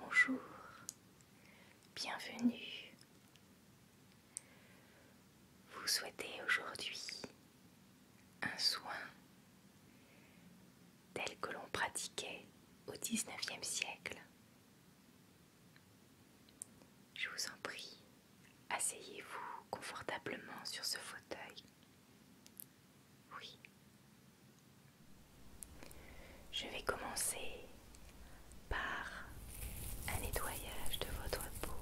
Bonjour, bienvenue. Vous souhaitez aujourd'hui un soin tel que l'on pratiquait au XIXe siècle. Je vous en prie, asseyez-vous confortablement sur ce fauteuil. Oui. Je vais commencer par un nettoyage de votre peau.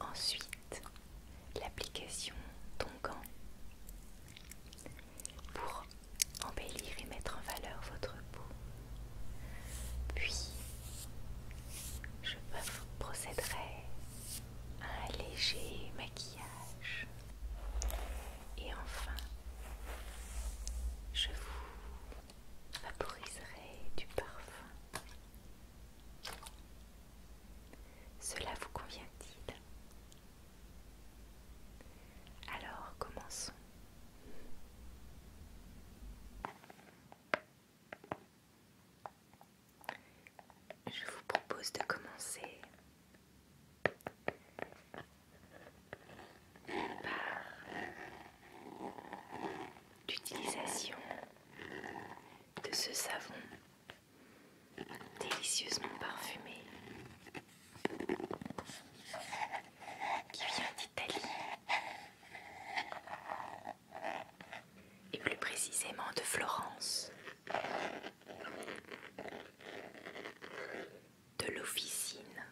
Ensuite, l'application de ton gant pour embellir et mettre en valeur votre peau. Puis, je procéderai à un léger maquillage. Et enfin, je vous vaporiserai du parfum. Cela vous convient-il alors commençons. Je vous propose de commencer par l'utilisation de ce savon délicieusement parfumé qui vient d'Italie et plus précisément de Florence, de l'officine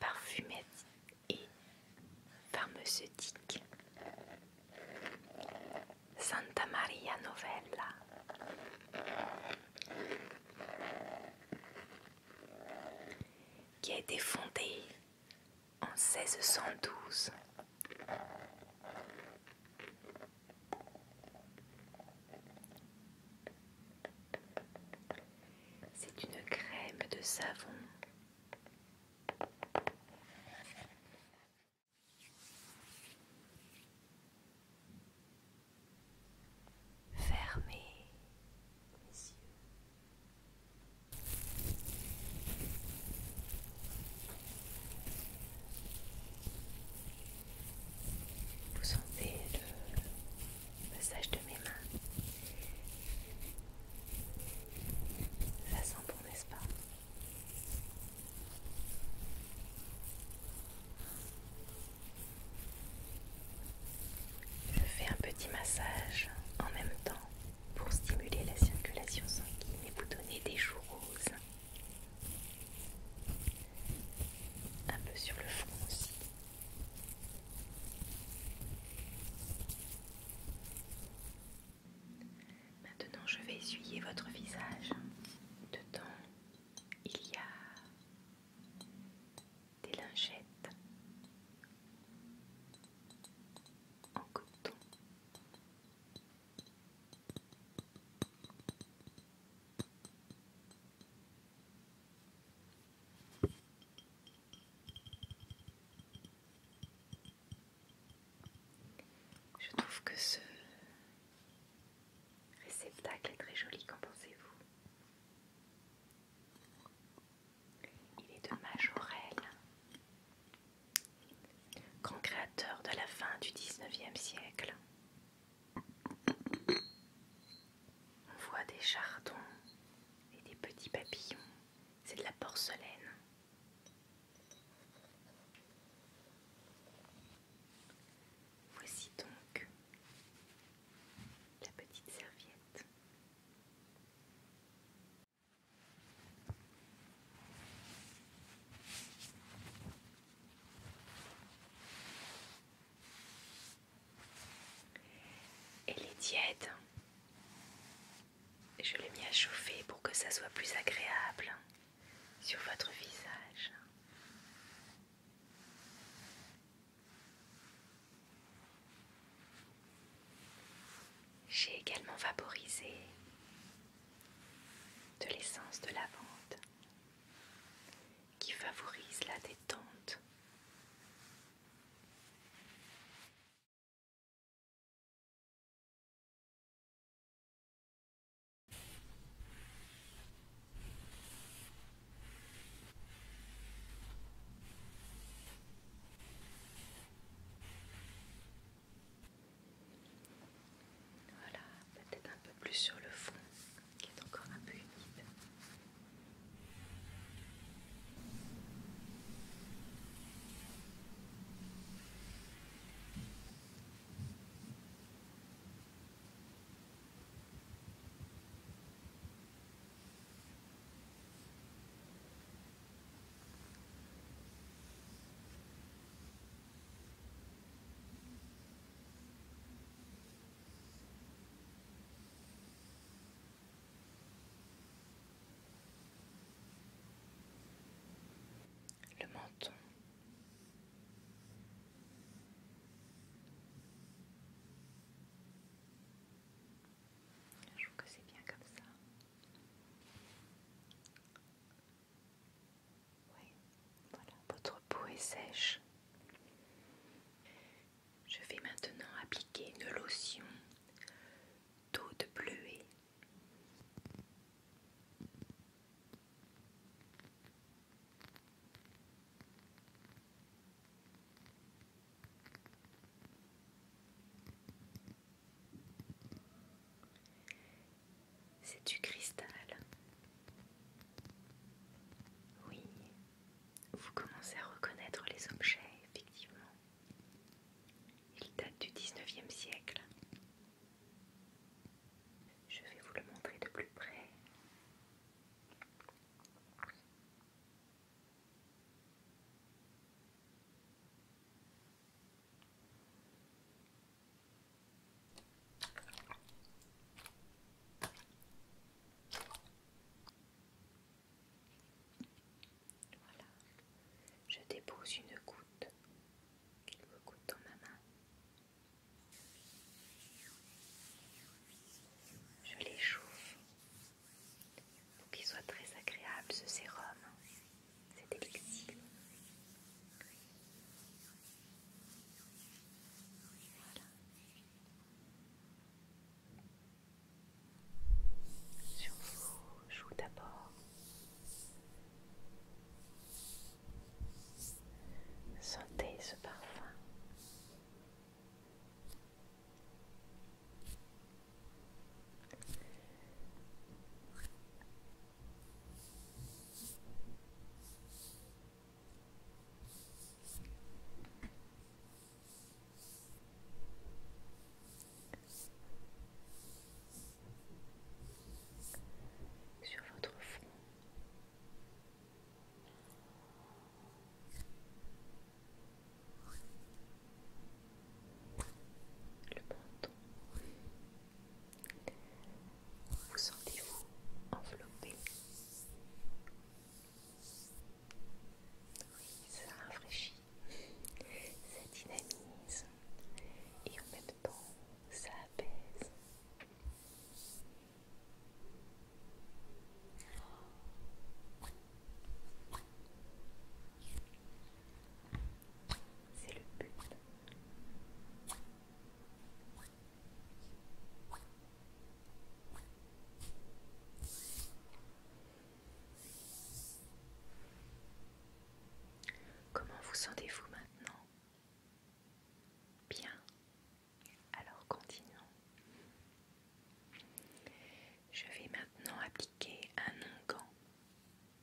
parfumée et pharmaceutique Santa Maria Novella qui a été fondée en 1612. C'est une crème de savon. Fermez Vous sentez le passage de mes mains. Ça sent bon, n'est-ce pas je fais un petit massage en même temps pour stimuler la circulation sanguine et vous donner des joues roses. Un peu sur le front aussi. Maintenant, je vais essuyer votre visage. Dedans, il y a des lingettes en coton. Je trouve que ce Réceptacle est très joli, qu'en pensez-vous Il est de Majorelle, grand créateur de la fin du 19e siècle. On voit des chardons et des petits papillons. C'est de la porcelaine. Voici donc la petite serviette. Elle est tiède. Je l'ai mis à chauffer pour que ça soit plus agréable sur votre visage. J'ai également vaporisé de l'essence de lavande qui favorise la détente. Voilà, peut-être un peu plus sur le fond qui est encore un peu humide le menton je trouve que c'est bien comme ça. voilà, votre peau est sèche. Je vais maintenant appliquer une lotion d'eau de c'est du cristal. Oui, vous commencez à reconnaître les objets, effectivement. Ils datent du 19e siècle. Je vais vous le montrer de plus près. Voilà, je dépose une goutte qu'il me coûte dans ma main. Je l'échauffe pour qu'il soit très agréable ce sérum, c'est élixir. Sur vous, joue d'abord, sentez ce parfum sur votre front, le Vous sentez-vous enveloppé Oui, ça rafraîchit, ça dynamise et en même temps ça apaise. C'est le but. Comment vous sentez-vous maintenant Bien alors continuons. Je vais maintenant appliquer un onguent.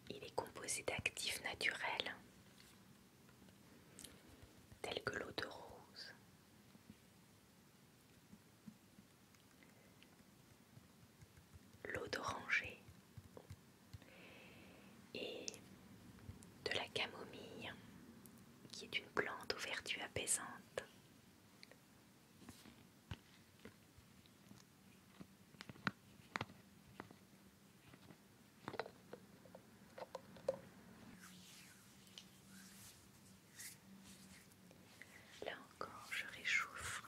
Il est composé d'actifs naturels tels que l'eau de rose, l'eau d'oranger et de la camomille qui est une plante aux vertus apaisantes. Là encore, je réchauffe,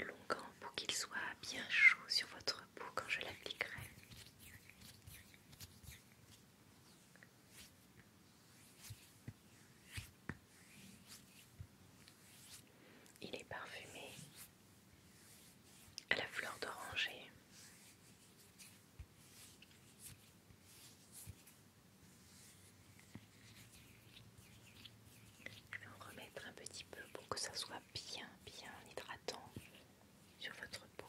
longan pour qu'il soit bien chaud sur votre peau quand je l'appliquerai. Il est parfumé à la fleur d'oranger. Je vais en remettre un petit peu pour que ça soit bien, bien hydratant sur votre peau.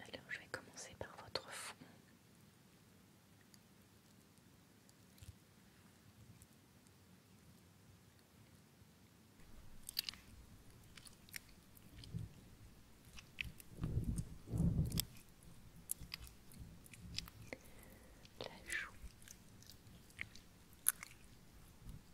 Alors je vais commencer par votre fond. La joue.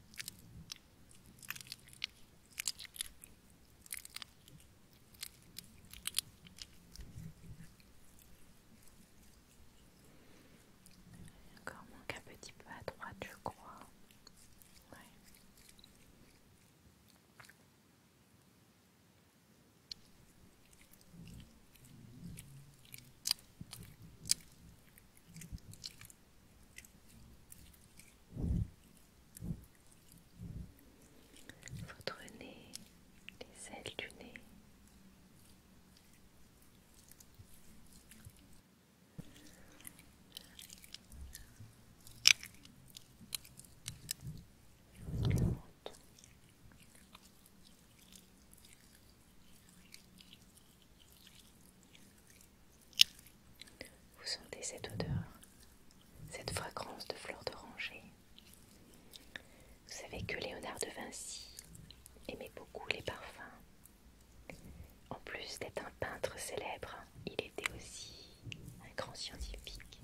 Il encore manque un petit peu à droite, je crois votre nez, les ailes du nez. Vous sentez cette odeur, cette fragrance de fleurs d'oranger. Vous savez que Léonard de Vinci aimait beaucoup les parfums. En plus d'être un peintre célèbre, il était aussi un grand scientifique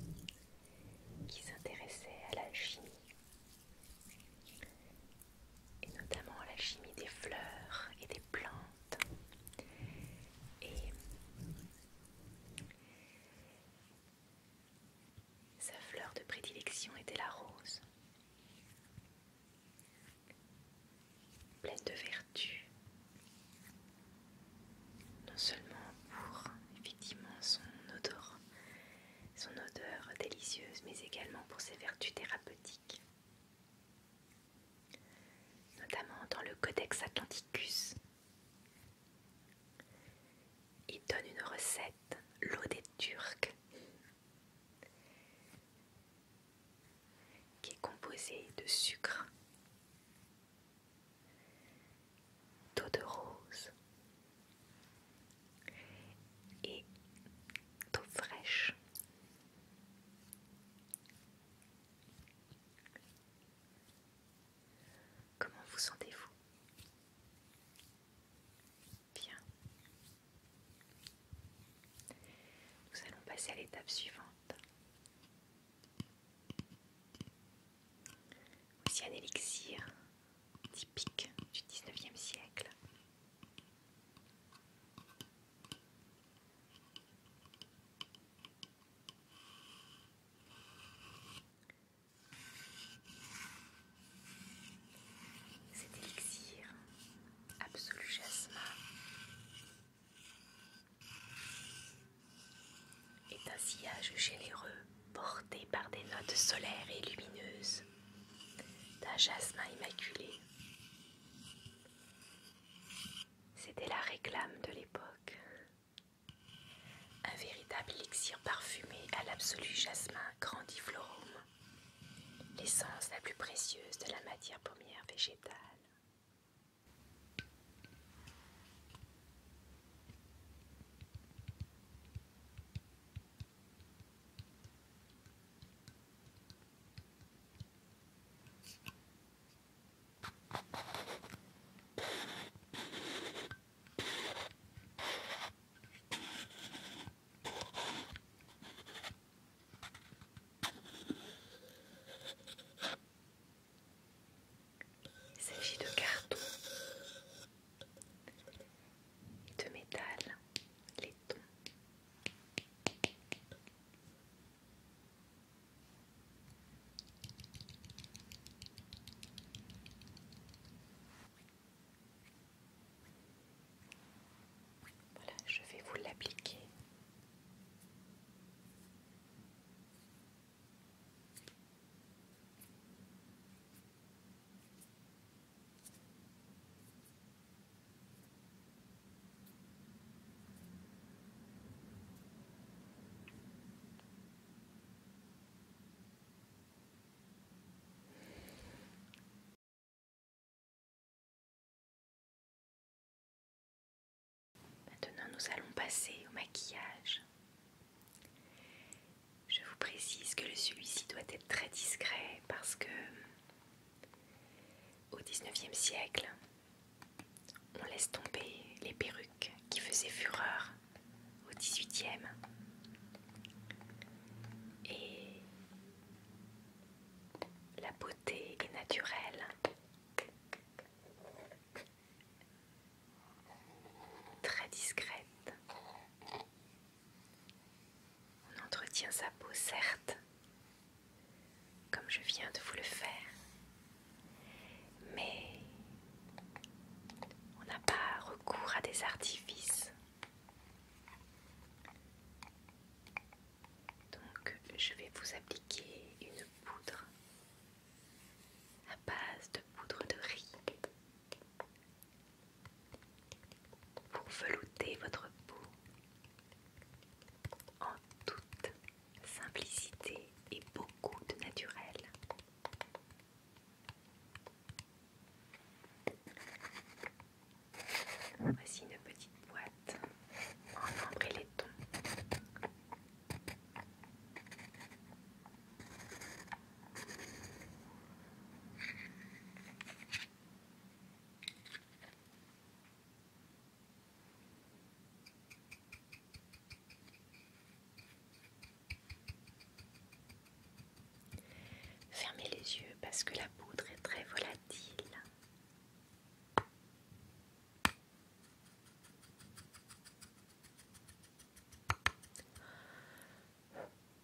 qui s'intéressait à la chimie et notamment la chimie des fleurs et des plantes. Et sa fleur de prédilection était la rose, pleine de vertus, non seulement pour effectivement son odeur, son odeur délicieuse, mais également pour ses vertus thérapeutiques notamment dans le Codex Atlanticus. Il donne une recette, l'eau des Turcs, qui est composée de sucre, d'eau de rose et d'eau fraîche Comment vous sentez-vous Bien. Nous allons passer à l'étape suivante. Voici un élixir typique du 19e siècle. Cet élixir absolu jasmin est un sillage généreux porté par des notes solaires et lumineuses d'un jasmin immaculé c'était la réclame de l'époque. Un véritable élixir parfumé à l'absolu jasmin grandiflorum, l'essence la plus précieuse de la matière pommière végétale. Il s'agit de cartons de métal, laiton, voilà, je vais vous l'appliquer. Maintenant, nous allons passer au maquillage. Je vous précise que celui-ci doit être très discret parce que au XIXe siècle, on laisse tomber les perruques qui faisaient fureur au XVIIIe. Et la beauté est naturelle. Très discrète on entretient sa peau, certes, comme je viens de vous le faire, mais on n'a pas recours à des artifices. Donc je vais vous appliquer une poudre à base de poudre de riz pour velouter votre peau en toute simplicité et beaucoup de naturel. Voici une petite boîte en ambre et tons. Fermez les yeux parce que la poudre est très volatile.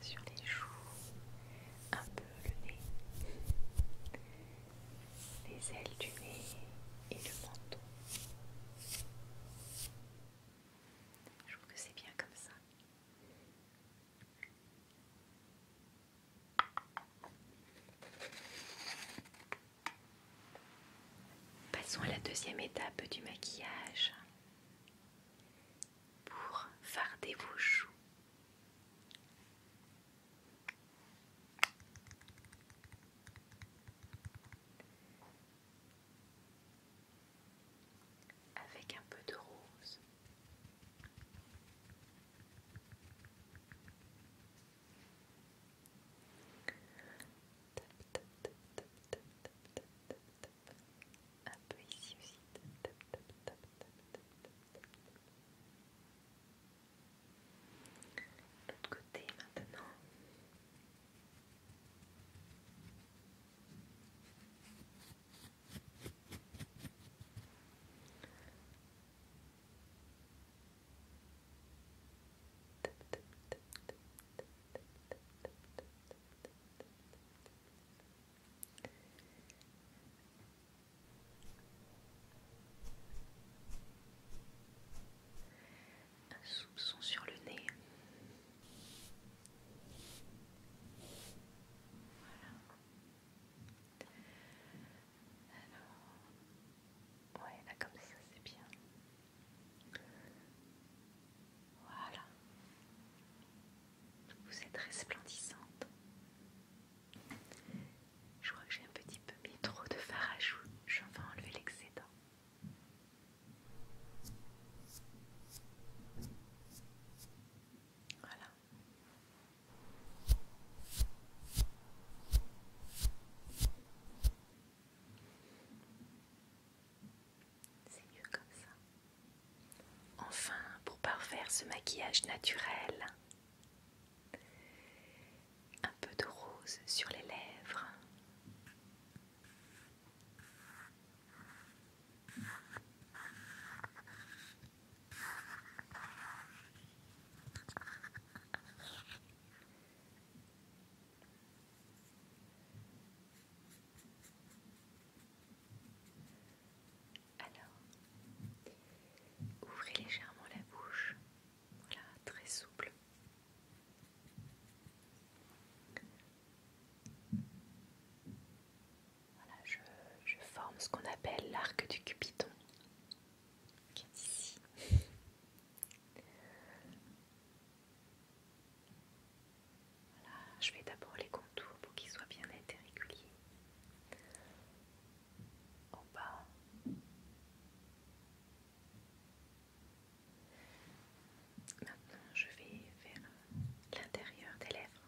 sur les joues, un peu le nez, les ailes du nez et le menton. Je trouve que c'est bien comme ça. Passons à la deuxième étape du maquillage. Pour farder vos joues. Avec un peu de rose. Un peu ici aussi. L'autre côté maintenant. Un soupçon sur le nez. Voilà. Alors, ouais, comme ça, c'est bien. Voilà. Vous êtes resplendissante. Je crois que j'ai un petit peu mis trop de fard à joues. Je vais enlever l'excédent. Voilà. Enfin, pour parfaire ce maquillage naturel, un peu de rose sur les lèvres. Alors, ouvrez légèrement la bouche, voilà, très souple. Voilà, je, je forme ce qu'on appelle l'arc du cupidon, qui est ici je vais d'abord les contours pour qu'ils soient bien nets et réguliers. En bas. Maintenant, je vais vers l'intérieur des lèvres.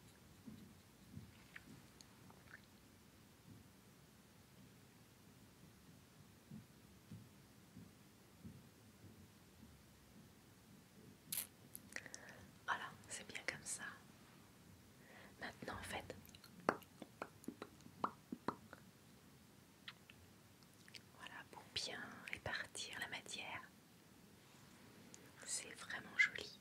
Voilà, c'est bien comme ça. Maintenant, en fait, voilà pour bien répartir la matière. C'est vraiment joli.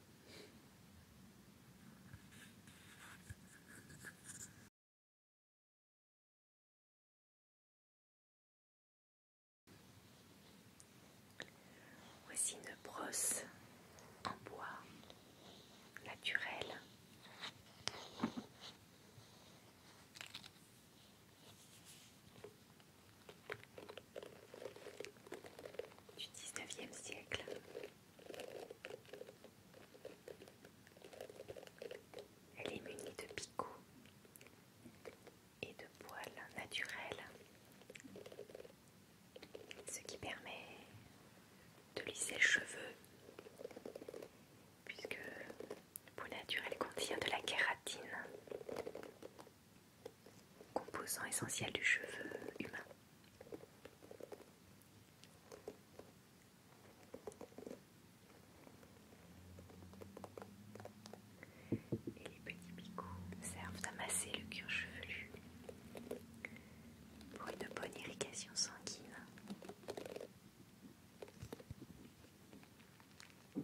Voici une brosse en bois naturel. Du 19e siècle. Elle est munie de picots et de poils naturels, ce qui permet de lisser le cheveu, puisque le poil naturel contient de la kératine, composant essentiel du cheveu humain. Et les petits picots servent à masser le cuir chevelu pour une bonne irrigation sanguine. Et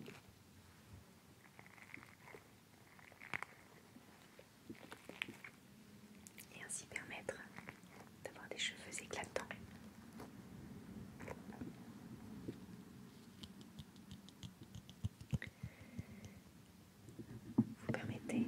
ainsi permettre d'avoir des cheveux éclatants. Vous permettez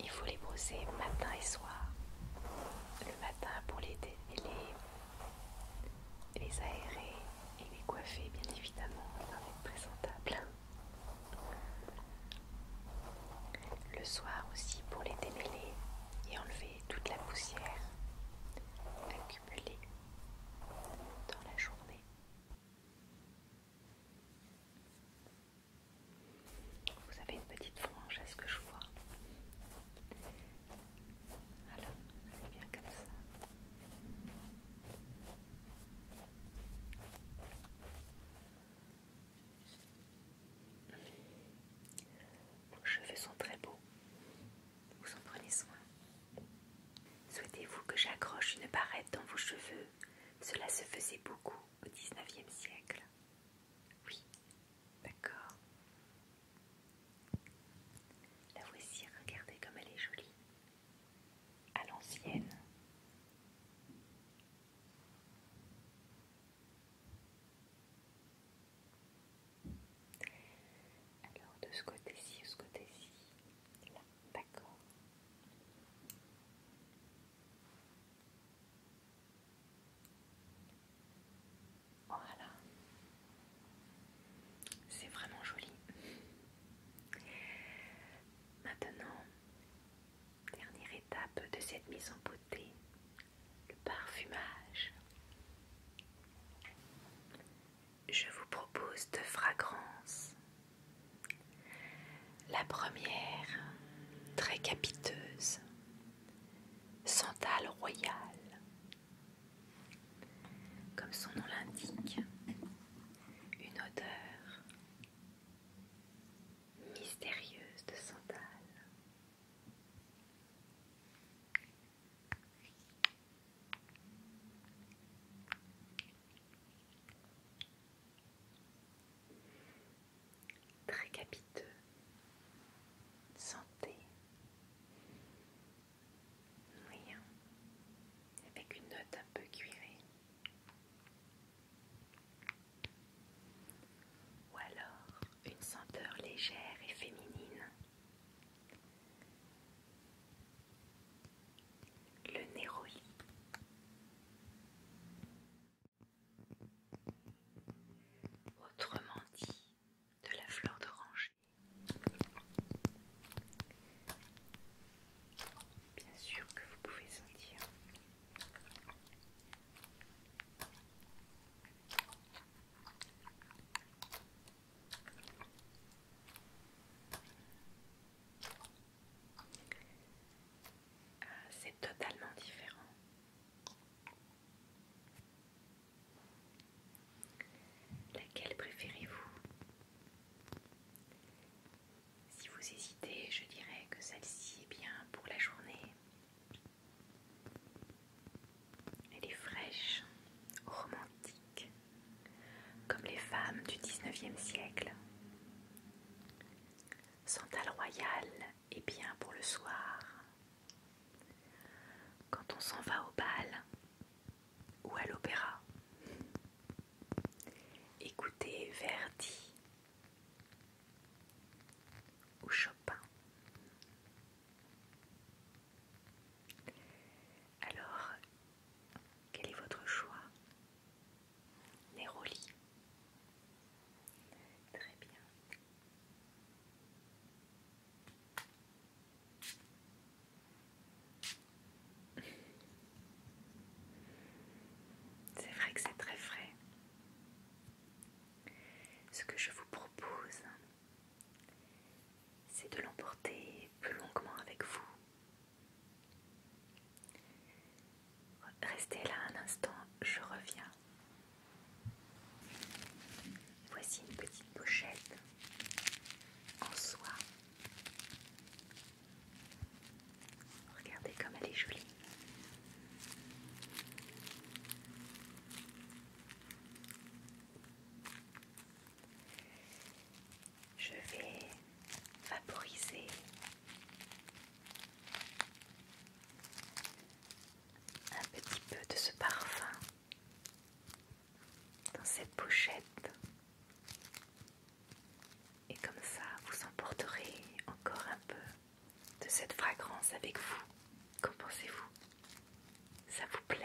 Il faut les brosser matin et soir. Le matin pour les, démêler, les aérer et les coiffer bien évidemment afin être présentable. Le soir aussi pour les démêler et enlever toute la poussière accumulée dans la journée. Vous avez une petite frange, à ce que je vois Voilà, c'est bien comme ça. Vos cheveux sont très beaux. Vous en prenez soin. Souhaitez-vous que j'accroche une barrette dans vos cheveux cela se faisait beaucoup au XIXe siècle. Oui, d'accord. La voici, regardez comme elle est jolie. À l'ancienne. Alors de ce côté-ci, de ce côté-ci, là. D'accord. Voilà. C'est vraiment joli. Maintenant, dernière étape de cette mise en beauté, le parfumage je vous propose deux fragrances. La première, très capiteuse, Santal Royal. Comme son nom l'indique, une odeur mystérieuse de santal très capiteux, santé, moyen, avec une note un peu cuirée, ou alors une senteur légère et féminine le néroli. Autrement dit, de la fleur d'oranger. Bien sûr que vous pouvez sentir. Euh, c'est totalement différent. Laquelle préférez-vous Si vous hésitez, je dirais que celle-ci est bien pour la journée. Elle est fraîche, romantique comme les femmes du 19e siècle. sont à royal Et bien pour le soir. Quand on s'en va au bal ou à l'opéra, écoutez Verdi ou Chopin. Alors, quel est votre choix Les Très bien. C'est vrai que c'est très frais. Ce que je vous propose, c'est de l'emporter plus longuement avec vous Restez là un instant, je reviens. Voici une petite pochette en soie. Regardez comme elle est jolie. Je vais vaporiser un petit peu de ce parfum dans cette pochette et comme ça vous emporterez encore un peu de cette fragrance avec vous. Qu'en pensez-vous Ça vous plaît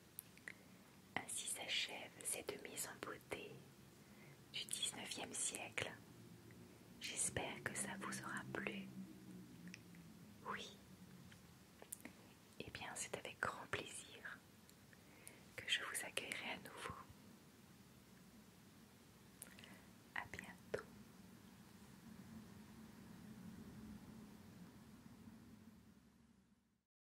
Ainsi s'achève cette mise en beauté du XIXe siècle. J'espère que ça vous aura plu. Oui. Eh bien, c'est avec grand plaisir que je vous accueillerai à nouveau. A bientôt.